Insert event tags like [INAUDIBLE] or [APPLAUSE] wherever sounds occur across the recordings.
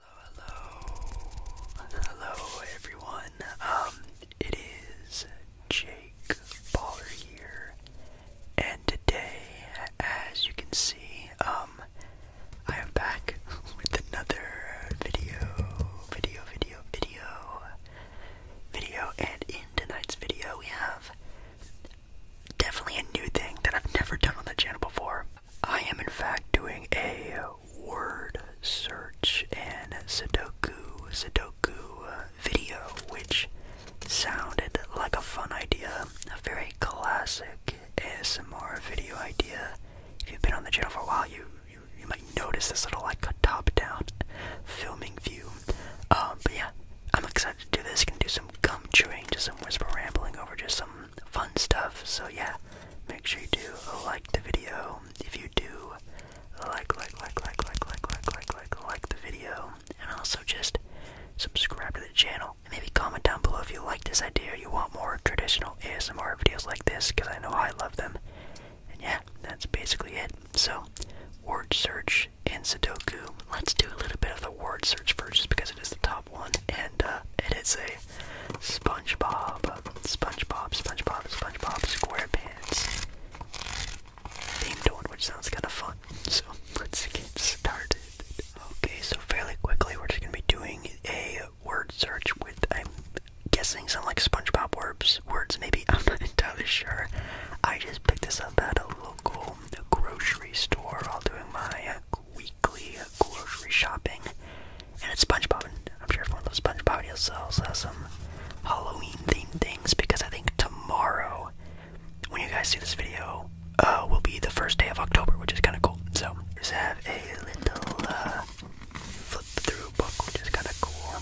Hello, hello, everyone. Um, it is Jake Baller here, and today, as you can see, um, I am back with another video, video, video, video, video, and in tonight's video, we have definitely a new thing that I've never done on the channel before. I am in fact doing a word search and Sudoku Sudoku uh, video, which sounded like a fun idea, a very classic ASMR video idea. If you've been on the channel for a while, you you, might notice this little like top-down filming view. Um, but yeah, I'm excited to do this. Gonna do some gum chewing, just some whisper rambling over just some fun stuff. So yeah, make sure you do like the video. If you do like, like, like, like, like, like, like, like, like, like the video, and also just subscribe to the channel. maybe comment down below if you like this idea you want more traditional ASMR videos like this, because I know I love them. And yeah, that's basically it. So, word search and Sudoku. Let's do a little bit of the word search first, just because it is the top one, and uh, it is a SpongeBob, SpongeBob, SpongeBob, SpongeBob SquarePants themed one, which sounds kind of fun. [LAUGHS] So let's get started. Okay, so fairly quickly, we're just gonna be doing a word search with I'm guessing some like SpongeBob words. Words, maybe [LAUGHS] I'm not entirely sure. I just picked this up at a local grocery store while doing my weekly grocery shopping. And it's SpongeBob, and I'm sure everyone loves SpongeBob. He'll also some Halloween themed things because I think tomorrow, when you guys see this video, uh, will be the first day of October, which is kind of cool. So, just have a little uh, flip through book, which is kind of cool.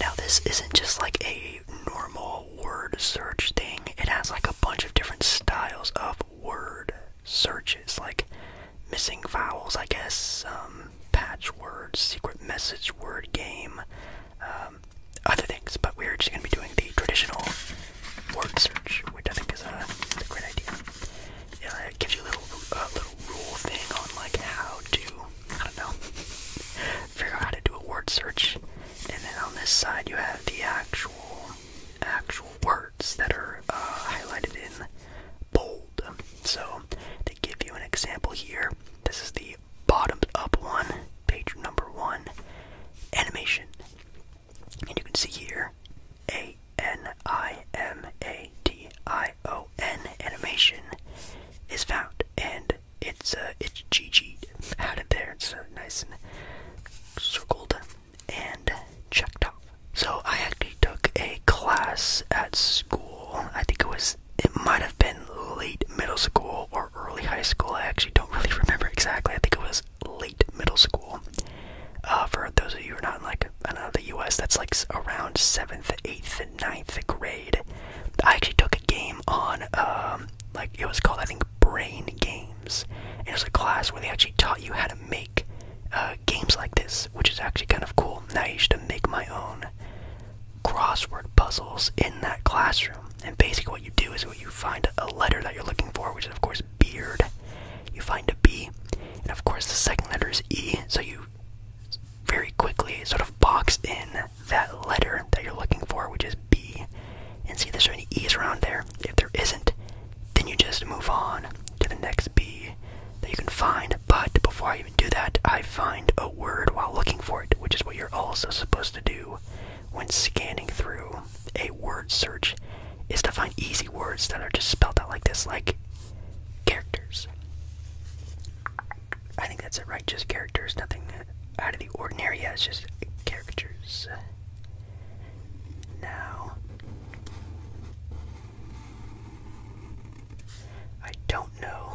Now, this isn't just like a normal word search thing, it has like a bunch of different styles of word searches like missing vowels, I guess, um, patch words, secret message word game, um, other things. But we're just going to be doing the traditional word search, which I think is a, great idea. Yeah, it gives you a little, uh, little rule thing on like how to, I don't know, [LAUGHS] figure out how to do a word search. And then on this side you have the actual, actual word that are uh, highlighted in bold. So to give you an example here, this is the bottomed up one, page number one, animation. And you can see here A N I M A T I O N animation is found and it's uh it's GG'd out of there. It's uh, nice and circled and checked off. So I actually took a class at school. I think it was it might have been late middle school or early high school. I actually don't really [LAUGHS] remember exactly. I think it was late middle school. Uh, for those of you who are not in like I the U.S., that's like around seventh, eighth, and 9th grade. I actually took a game on um, like it was called I think Brain Game and it was a class where they actually taught you how to make uh, games like this, which is actually kind of cool. And I used to make my own crossword puzzles in that classroom. And basically, what you do is what you find a letter that you're looking for, which is of course beard. You find a B, and of course the second letter is E. So you very quickly sort of box in that letter that you're looking for, which is B, and see if there's any E's around there. If there isn't, then you just move on to the next B that you can find. But before I even do that, I find a word while looking for it, which is what you're also supposed to do when scanning through a word search, is to find easy words that are just spelled out like this, like characters. I think that's it, right? Just characters, nothing out of the ordinary. Yeah, it's just characters. Now, I don't know.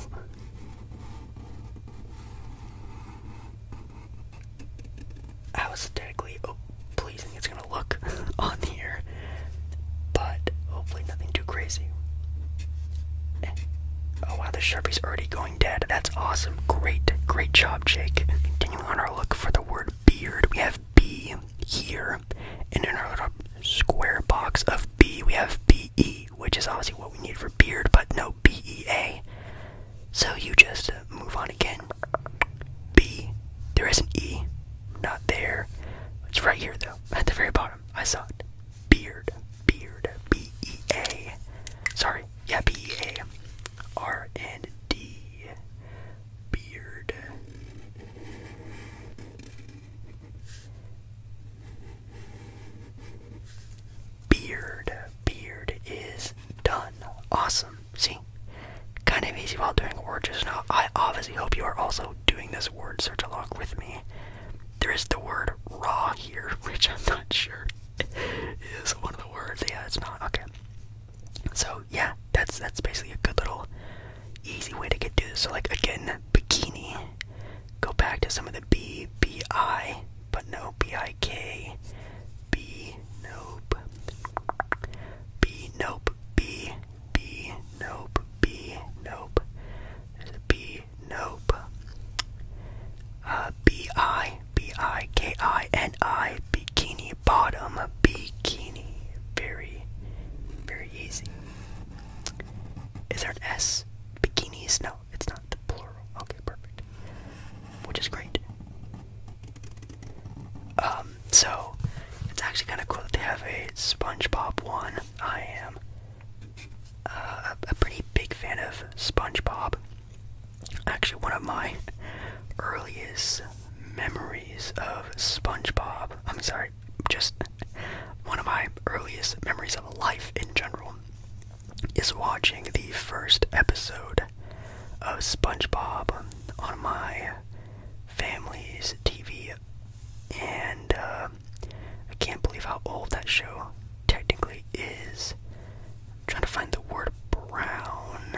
How aesthetically oh, pleasing it's gonna look [LAUGHS] on here, but hopefully nothing too crazy. Eh. Oh wow, the sharpie's already going dead. That's awesome. Great, great job, Jake. Continuing on our look for the word beard, we have B here. And in our square box of B, we have BE, which is obviously what we need for beard, but no BEA. So you just uh, move on again. B. There is an E. Not there. It's right here, though, [LAUGHS] at the very bottom. I saw it. Beard. Beard. B E A. Sorry. Yeah, B E A. R and D beard. Beard. Beard is done. Awesome. See? Kind of easy while doing words now. I obviously hope you are also doing this word search along with me. There is the word raw here, [LAUGHS] which I'm not sure [LAUGHS] is one of the words. Yeah, it's not. Okay. So yeah, that's that's basically a good little easy way to get through this. So like again, bikini. Go back to some of the B B I, but no B I K. B nope. B nope. B B nope. B nope. There's a B nope. Uh B I B I K I N I bikini bottom bikini. Very, very easy. Is there an S? Bikinis? No, it's not the plural. Okay, perfect. Which is great. Um, so it's actually kind of cool that they have a SpongeBob one. I am uh, a pretty big fan of SpongeBob. Actually, one of my [LAUGHS] earliest memories of SpongeBob. I'm sorry, just one of my earliest memories of life in general is watching the first episode of SpongeBob on my family's TV. And uh, I can't believe how old that show technically is. trying to find the word brown.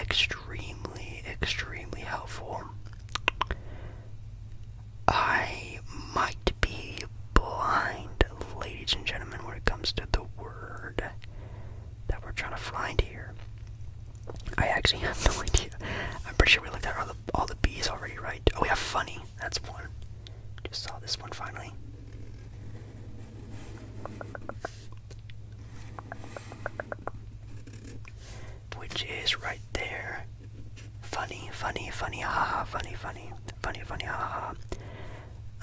extremely, extremely helpful. I might be blind, ladies and gentlemen, when it comes to the word that we're trying to find here. I actually have no [LAUGHS] idea. I'm pretty sure we looked at all the, all the B's already, right? Oh, yeah, funny. That's one. Just saw this one finally. Which is right there. Funny, funny, funny, haha, funny, funny, funny, funny, haha.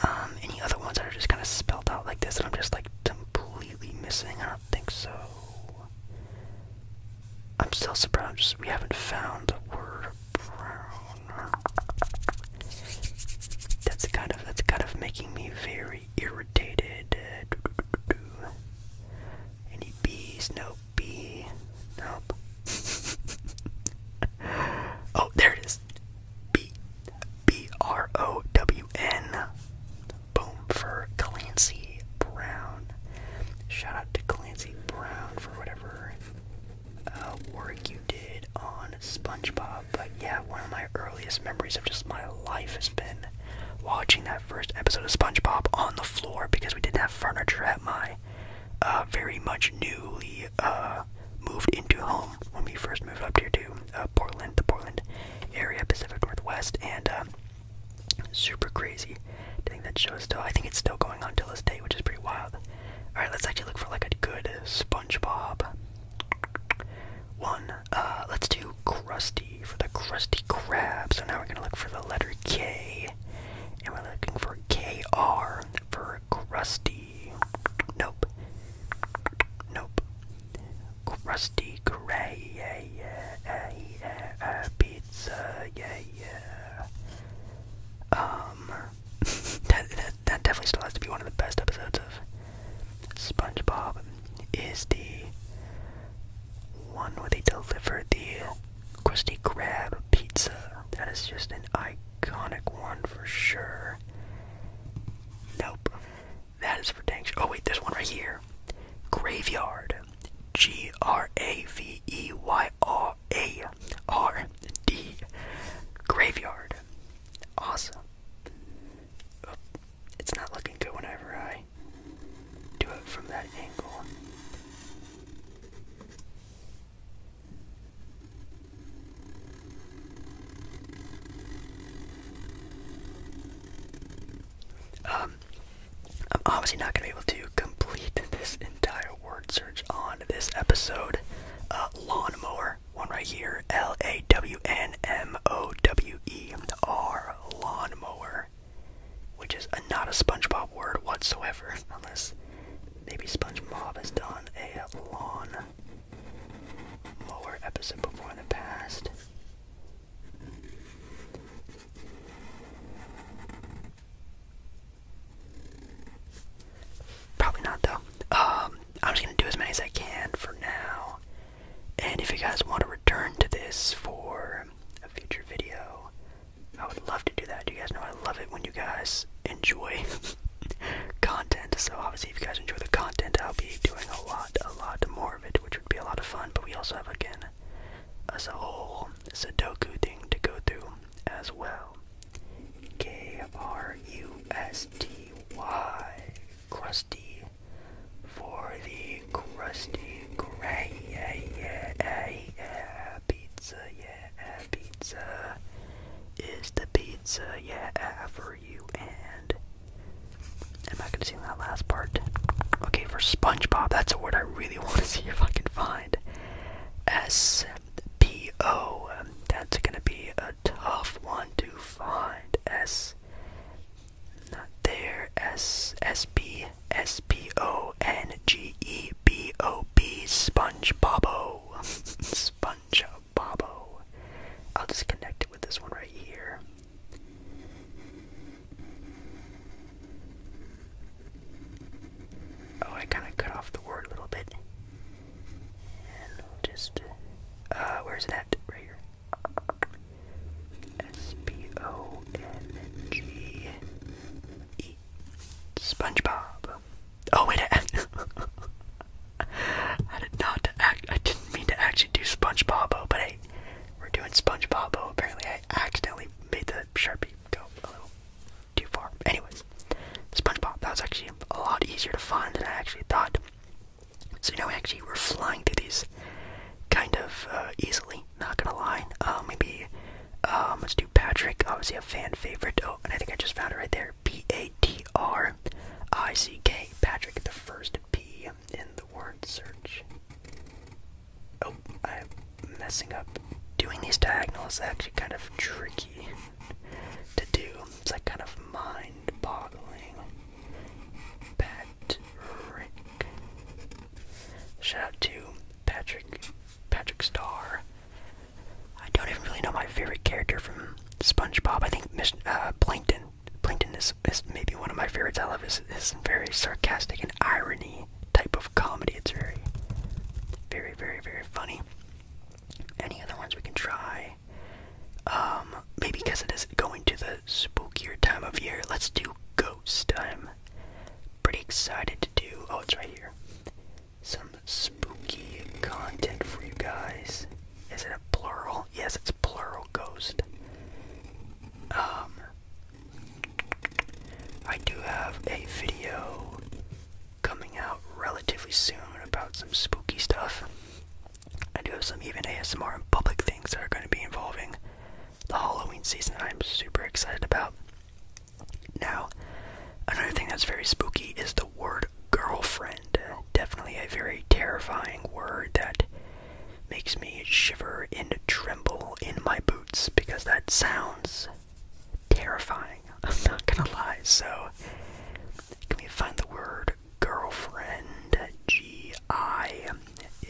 Um, any other ones that are just kind of spelled out like this that I'm just like completely missing? I don't think so. I'm still surprised just, we haven't found the word brown. That's kind of that's kind of making me very irritated. Any bees? No bee. Nope. [LAUGHS] oh, there it is. B B R O W N. Boom for Clancy Brown. Shout out to Clancy Brown for whatever uh, work you did on SpongeBob but yeah, one of my earliest memories of just my life has been watching that first episode of SpongeBob on the floor because we didn't have furniture at my uh, very much newly uh, moved into home when we first moved up here to uh, Portland, the Portland area, Pacific Northwest, and um, super crazy. I think that show is still, I think it's still going on till this day, which is pretty wild. Alright, let's actually look for like a good SpongeBob one uh, let's do crusty for the crusty crab. So now we're gonna look for the letter K, and we're looking for KR for crusty. Nope. Nope. Crusty gray. Pizza. Yeah, yeah. Um, [LAUGHS] that definitely still has to be one of the best episodes of SpongeBob. Is the one where they delivered the Krusty Krab pizza? That is just an iconic one for sure. Nope, that is for dang Oh wait, there's one right here. Graveyard, G R A V E Y R A R D. Graveyard, awesome it's not looking good whenever I do it from that angle. Um, I'm obviously not going to be able to complete [LAUGHS] this entire word search on this episode. Uh, lawnmower. One right here. L A W N M O W E R. lawn mower, Which is not a SpongeBob word whatsoever. [LAUGHS] Unless maybe SpongeBob has done a lawn mower episode before in the past. Probably not though. Um, I'm just gonna do as many as I can for now. And if you guys want to return to this for a future video, I would love to do that. You guys know I love it when you guys enjoy [LAUGHS] content. So obviously, if you guys enjoy the content, I'll be doing a lot, a lot more of it, which would be a lot of fun. But we also have again as a whole a Sudoku thing to go through as well. K R U S T Y crusty for the crusty yeah yeah eh, yeah, pizza yeah eh, pizza is the pizza yeah eh, for you and am I gonna see that last part? Okay, for SpongeBob, that's a word I really [LAUGHS] want to see if I can find. S P O. That's gonna be a tough one to find and S. Not there. S S B S P O N G E B O B Sponge Bobbo. [LAUGHS] I'll just connect it with this one right here. Oh, I kind of cut off the word a little bit. And we'll just, uh, where's that? Right here. S-P-O-N-G-E. SpongeBob. Oh, wait, I, [LAUGHS] I did not act, I didn't mean to actually do SpongeBob, but hey, we're doing SpongeBob. Apparently, I accidentally made the Sharpie go a little too far. Anyways, SpongeBob, that was actually a lot easier to find than I actually thought. So you know, actually we're flying through these kind of uh, easily, not gonna lie. Uh, maybe um, let's do Patrick, obviously a fan favorite. Oh, and I think I just found it right there. P A T R I C K. Patrick, the first P in the word search. Oh, I'm messing up. Doing these diagonals is actually kind of tricky to do. It's like kind of mind boggling. Patrick. Shout out to Patrick, Patrick Star. I don't even really know my favorite character from SpongeBob. I think Mr. uh, Plankton. Plankton is, is maybe one of my favorites. I love his, his very sarcastic and irony type of comedy. It's very, very, very, very funny. Any other ones we can try? Um, maybe because it is going to the spookier time of year, let's do ghost. I'm pretty excited to do. Oh, it's right here. Some spooky content for you guys. Is it a plural? Yes, it's plural ghost. Um, I do have a video coming out relatively soon about some spooky stuff. I do have some even ASMR and public things that are going to be involving the Halloween season I'm super excited about. Now, another thing that's very spooky is the word girlfriend. Definitely a very terrifying word that makes me shiver and tremble in my boots because that sounds terrifying. [LAUGHS] I'm not gonna lie. So, can we find the word girlfriend. G-I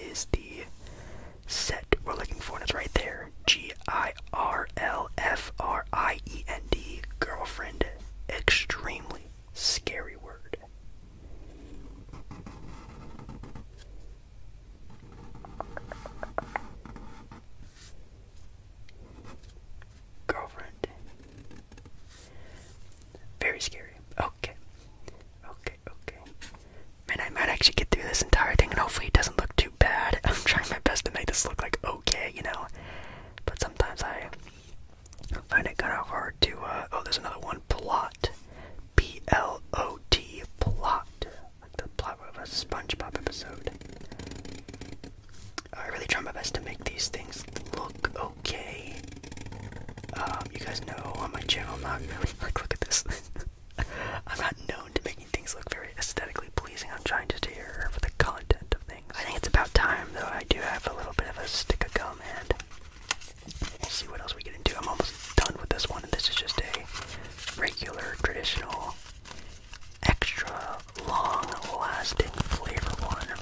is the set we're looking for, and it's right there. G-I-R-L-F-R-I-E-N-D, girlfriend. Extremely scary word girlfriend. Very scary. Okay. Okay, okay. Man, I might actually get through this entire thing and hopefully it doesn't look too bad. [LAUGHS] I'm trying my best to make this look like okay, you know? But sometimes I find it kind of hard to, uh, oh, there's another one. Plot. P L O T. Plot. Like the plot of a SpongeBob episode. I really try my best to make these things look okay okay. Um, you guys know on my channel, I'm not [LAUGHS] like look at this. [LAUGHS] I'm not known to making things look very aesthetically pleasing. I'm trying to steer for the content of things. I think it's about time, though. I do have a little bit of a stick of gum, and we see what else we get into. I'm almost done with this one, and this is just a regular, traditional, extra long-lasting flavor one.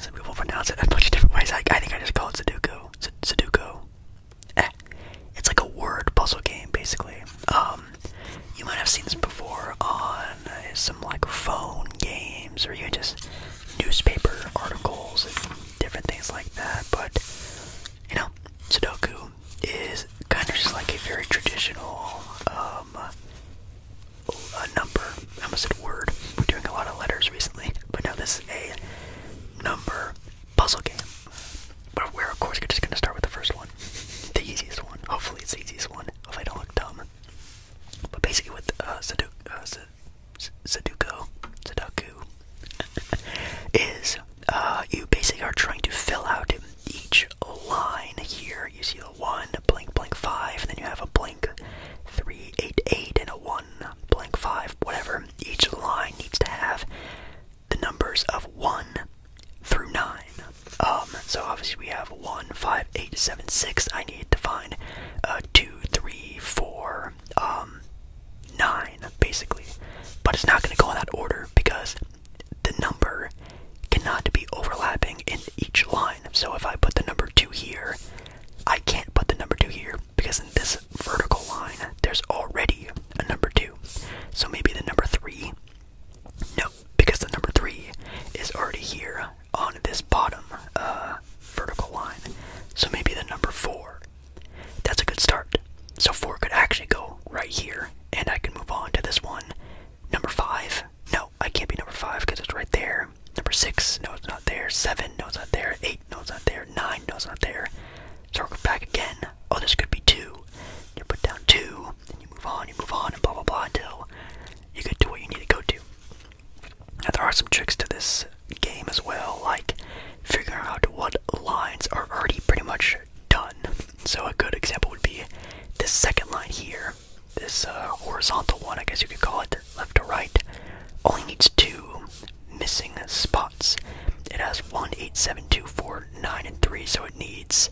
Some people pronounce it a bunch of different ways. I, think I just call it Sudoku. Sudoku. Eh. It's like a word puzzle game, basically. Um, you might have seen this before on uh, some like phone games or even just newspaper articles and different things like that. But you know, Sudoku is kind of just like a very traditional um, a number. I almost said word. We're doing a lot of letters recently, but now this is a number puzzle game. But we're of course just gonna start with the first one, the easiest one. Hopefully it's the easiest one. If I don't look dumb. But basically, with uh, Sudoku, uh, Sudoku, Sudoku [LAUGHS] is uh, you basically are trying to fill out each line here. You see the one, blank, blank, five, and then you have a blank blank three, eight, eight, and a one, blank five, whatever. Each line needs to have the numbers of one through nine. Um, so obviously we have one, five, eight, seven, six. I need to find uh, two, three, four, um, nine, basically. But it's not going to go in that order because the number cannot be overlapping in each line. So if I put the number 2 here, I can't put the number 2 here because in this vertical line there's already a number 2. So maybe the number 3? No, because the number 3 is already here on this bottom uh, vertical line. So maybe the number 4. That's a good start. So 4 could actually go right here, and I can move on to this one. Number 5? No, I can't be number five because it's right there. Number six, no, it's not there. Seven, no, it's not there. Eight, no, it's not there. Nine, no, it's not there. So we're back again. Oh, this could be two. You put down two, Then you move on, you move on, and blah, blah, blah, until you get to what you need to go to. Now, there are some tricks to this game as well, like figuring out what lines are already pretty much done. So, a good example would be this second line here this uh, horizontal one, I guess you could call it, left to right, only needs two missing spots. It has 1, 8, 7, 2, 4, 9, and 3, so it needs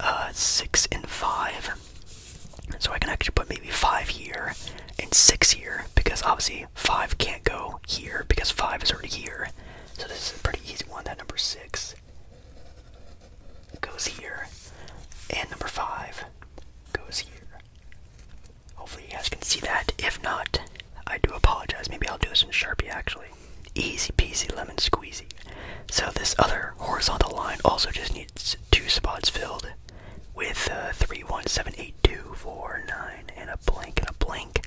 uh, 6 and 5. So I can actually put maybe 5 here and 6 here, because obviously 5 can't go here, because 5 is already here. So this is a pretty easy one, that number 6 goes here. And number five goes here. Hopefully you guys can see that. If not, I do apologize. Maybe I'll do this in Sharpie actually. Easy peasy lemon squeezy. So this other horizontal line also just needs two spots filled with uh, three, one, seven, eight, two, four, nine, and a blank and a blank.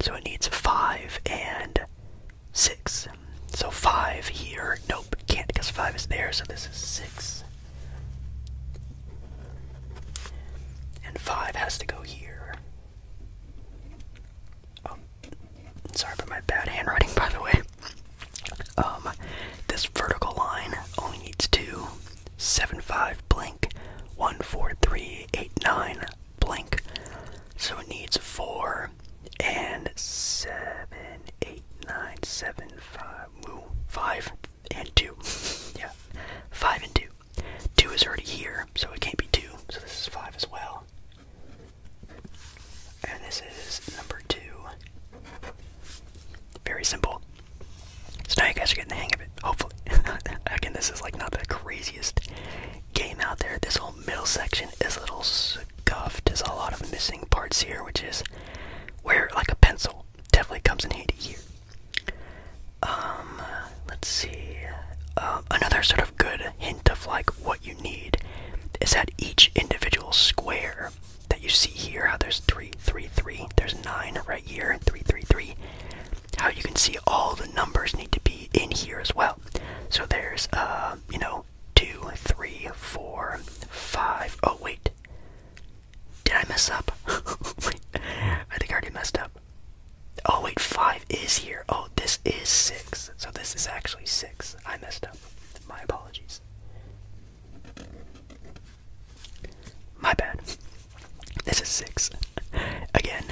So it needs five and six so five here. Nope, can't because five is there, so this is six. And five has to go here. Um, sorry for my bad handwriting, [LAUGHS] by the way. Um, this vertical line only needs two. Seven five blank, one four three eight nine blank. So it needs four and seven, eight, nine, seven, five, woo, five and two. [LAUGHS] yeah, five and two. Two is already here, so it can't be two. So this is five as well. And this is number two. Very simple. So now you guys are getting the hang of it, hopefully. [LAUGHS] Again, this is like not the craziest game out there. This whole middle section is a little scuffed. There's a lot of missing parts here, which is where, like, a pencil definitely comes in handy here. Um, let's see. Uh, another sort of good hint of, like, what you need is that each individual square that you see here, how there's three, three, three, there's nine right here, three, three, three. How you can see all the numbers need to be in here as well. So there's, uh, you know, now. Two, three, four, five. Oh, wait. Did I mess up? [LAUGHS] I think I already messed up. Oh, wait, five is here. Oh, this is six. So this is actually six. I messed up. My apologies. My bad. This is six. Again.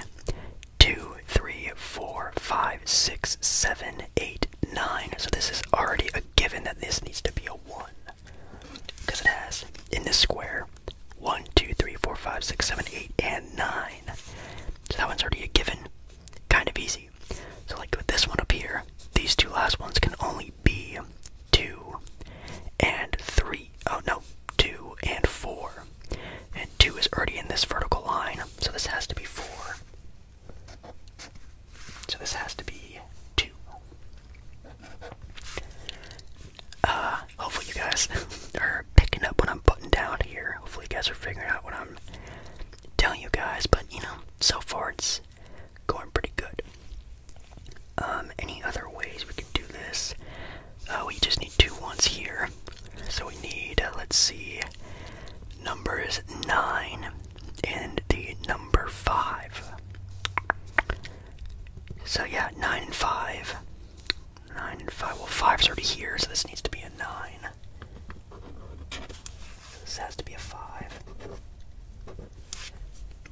Two, three, four, five, six, seven, eight, 9. So this is already a given that this needs to be a 1. Because it has, in this square, 1, 2, 3, 4, 5, 6, 7, 8, and 9. So that one's already a given. Kind of easy. So like with this one up here, these two last ones can only be 2 and 3. Oh no, 2 and 4. And 2 is already in this vertical line, so this has to be 4. So this has to be two. Uh, hopefully you guys [LAUGHS] are picking up what I'm putting down here. Hopefully you guys are figuring out what I'm telling you guys, but you know, so far it's going pretty good. Um, any other ways we can do this? Uh, we just need two ones here. So we need, uh, let's see, Number is 9 and the number 5. So yeah, 9 and 5. 9 and 5. Well, five is already here, so this needs to be a 9. This has to be a 5.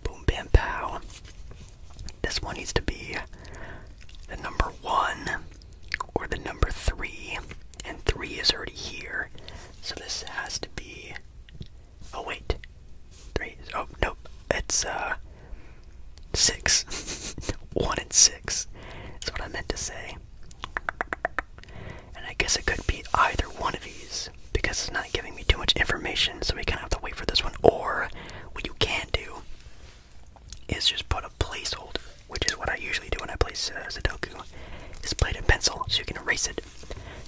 Boom, bam, pow. This one needs to be the number 1 or the number 3. And 3 is already here, so this has to be Oh wait, three. Oh nope, it's uh six. [LAUGHS] One and six That's what I meant to say. And I guess it could be either one of these because it's not giving me too much information, so we kind of have to wait for this one. Or what you can do is just put a placeholder, which is what I usually do when I play uh, Sudoku. Is play it pencil so you can erase it.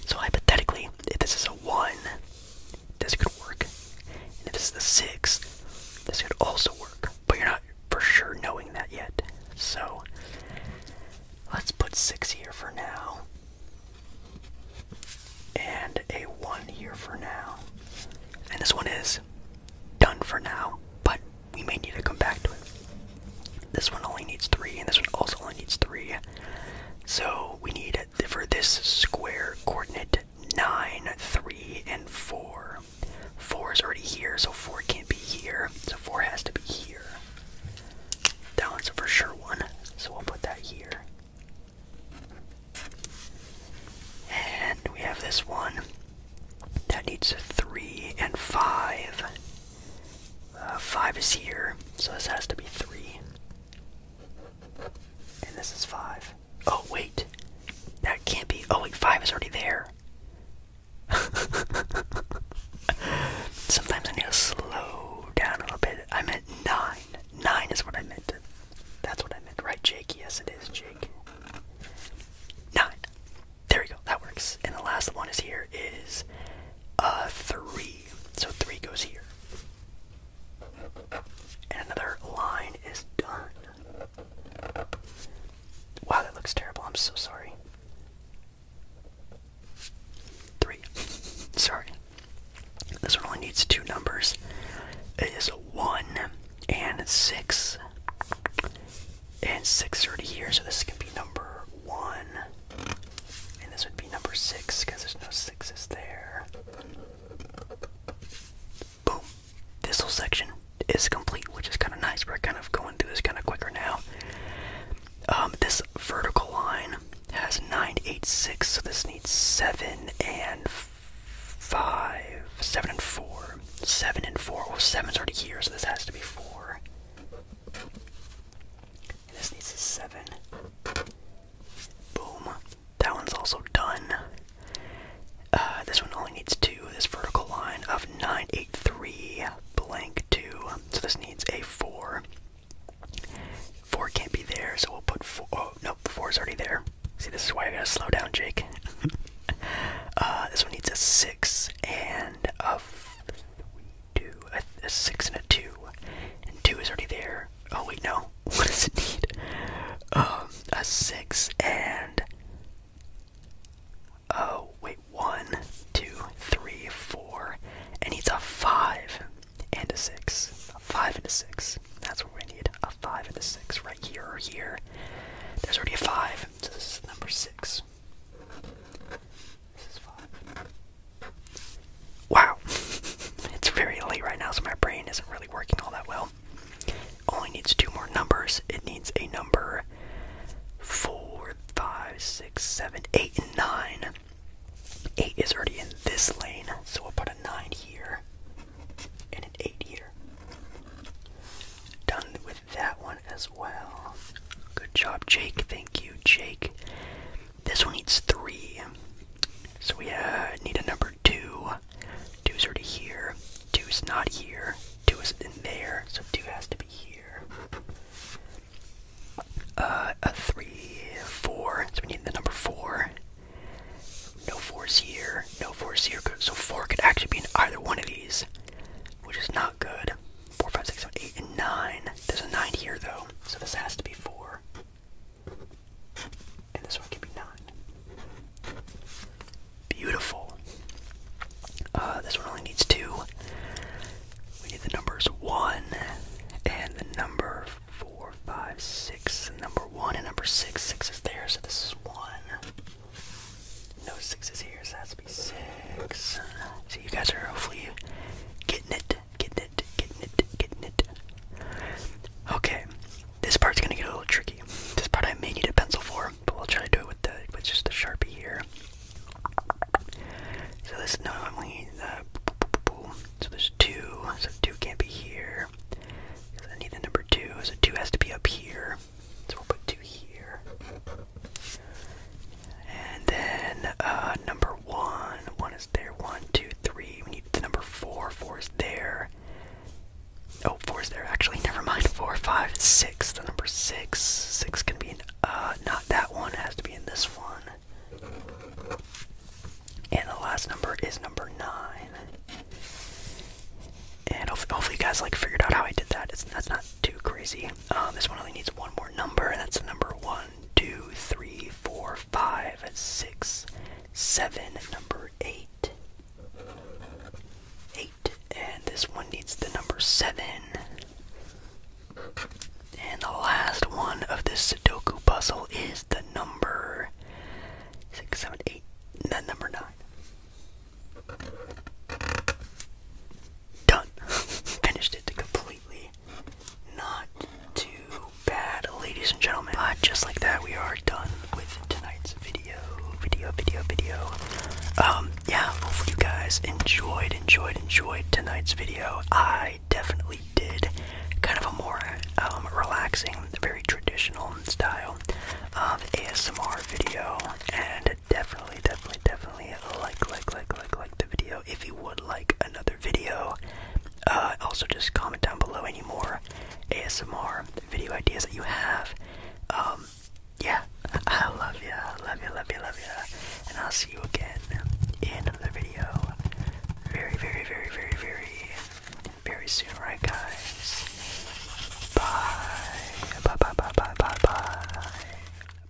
So hypothetically, if this is a one, this could work. And if this is the six, this could also work. But you're not for sure knowing that yet. So let's put six here for now. And a one here for now. And this one is done for now, but we may need to come back to it. This one only needs three, and this one also only needs three. So we need for this square coordinate nine, three, and four. Four is already here, so four can't be here. So four has to be here. That one's for sure one, so we'll put that here. And we have this one that needs three and five uh, five is here, so this has to be three. And this is five. Oh, wait. That can't be. Oh, wait, five is already there. [LAUGHS] Sometimes I need to slow down a little bit. I meant nine. Nine is what I meant. That's what I meant, right, Jake? Yes, it is, Jake. Nine. There we go. That works. And the last one is here is uh, three. So three goes here. And another line is done. Wow, that looks terrible. I'm so sorry. Three. [LAUGHS] Sorry. This one only needs two numbers. It is one and six. And six already here, so this can be number one. And this would be number six because there's no sixes there. Boom. This whole section is complete, which is kind of nice. We're kind of going through this kind of quicker now. Um, this vertical line has 986, so this needs 7 and 5. 7 and 4. 7 and 4. Well, 7's already here, so this has to be 4 this needs a seven. Boom. That one's also done. Uh, this one only needs two. This vertical line of 983 blank 2. So this needs a 4. 4 can't be there, so we'll put 4. Oh, nope, 4 is already there. See, this is why I gotta slow down, Jake. [LAUGHS] uh, this one needs a 6 and a two, a, six and a two, and two is already there. Oh wait, no. [LAUGHS] What does it need? Um, a six and oh wait, one, two, three, four. It needs a five and a six. A five and a six. That's what we need. A five and a six right here or here. There's already a five, so this is number six. Wow. [LAUGHS] it's very late right now, so my brain isn't really working all that well. Only needs two more numbers. It needs a number four, five, six, seven, eight, and nine. Eight is already in this lane, so we'll put a nine here and an eight here. Done with that one as well. Good job, Jake. Thank you, Jake. This one needs three. So we uh, need a number two. Two's already here. Two's not here. Two is in there. So two has to be here. Uh, a three, four. So we need the number four. No fours here. No fours here. So four could actually be in either one of these, which is not good. 4, and 9. There's a 9 here, though, so this has to be 4. And this one can be 9. Beautiful. Uh, this one only needs 2. We need the numbers 1 and the number 4, 5, 6, and number 1 and number 6. 6 is there, so this is 1. No 6 is here, so that's six. So you guys are hopefully getting it, getting it, getting it, getting it. Okay, this part's gonna get a little tricky. This part I may need a pencil for, but we'll try to do it with the with just the sharpie here. So this normally, uh, so there's two, so two can't be here. Cause I need the number two, so two has to be up here. So we'll put two here. And then uh, number one, one is there. One, two, three. We need the number four. Four is there. Oh, four is there. Actually, never mind. Four, five, six. The number six. Six can be in. Uh, not that one. has to be in this one. And the last number is number nine. And hopefully, hopefully you guys like figured out how I did that. It's that's not too crazy. Uh, this one only needs one more number, and that's the number one, two, three, four, five, six, seven, number eight. Eight. And this one needs the number seven. And the last one of this Sudoku puzzle is the number six, seven, eight, no, number nine. Done. [LAUGHS] Finished it completely. Not too bad, ladies and gentlemen. But just like that, we are done with tonight's video, video, video, video. Um, yeah, hopefully you guys enjoyed, enjoyed, enjoyed tonight's video. I definitely did. Kind of a more um, relaxing, very traditional style of ASMR video, and definitely, definitely, definitely definitely like, like, like, like, like the video if you would like another video. Uh, also, just comment down below any more ASMR video ideas that you have. Um, yeah, [LAUGHS] I love you, love you, love you, love you, and I'll see you again in another video very, very, very, very, very, very soon, right, guys? Bye, bye, bye, bye, bye, bye, bye.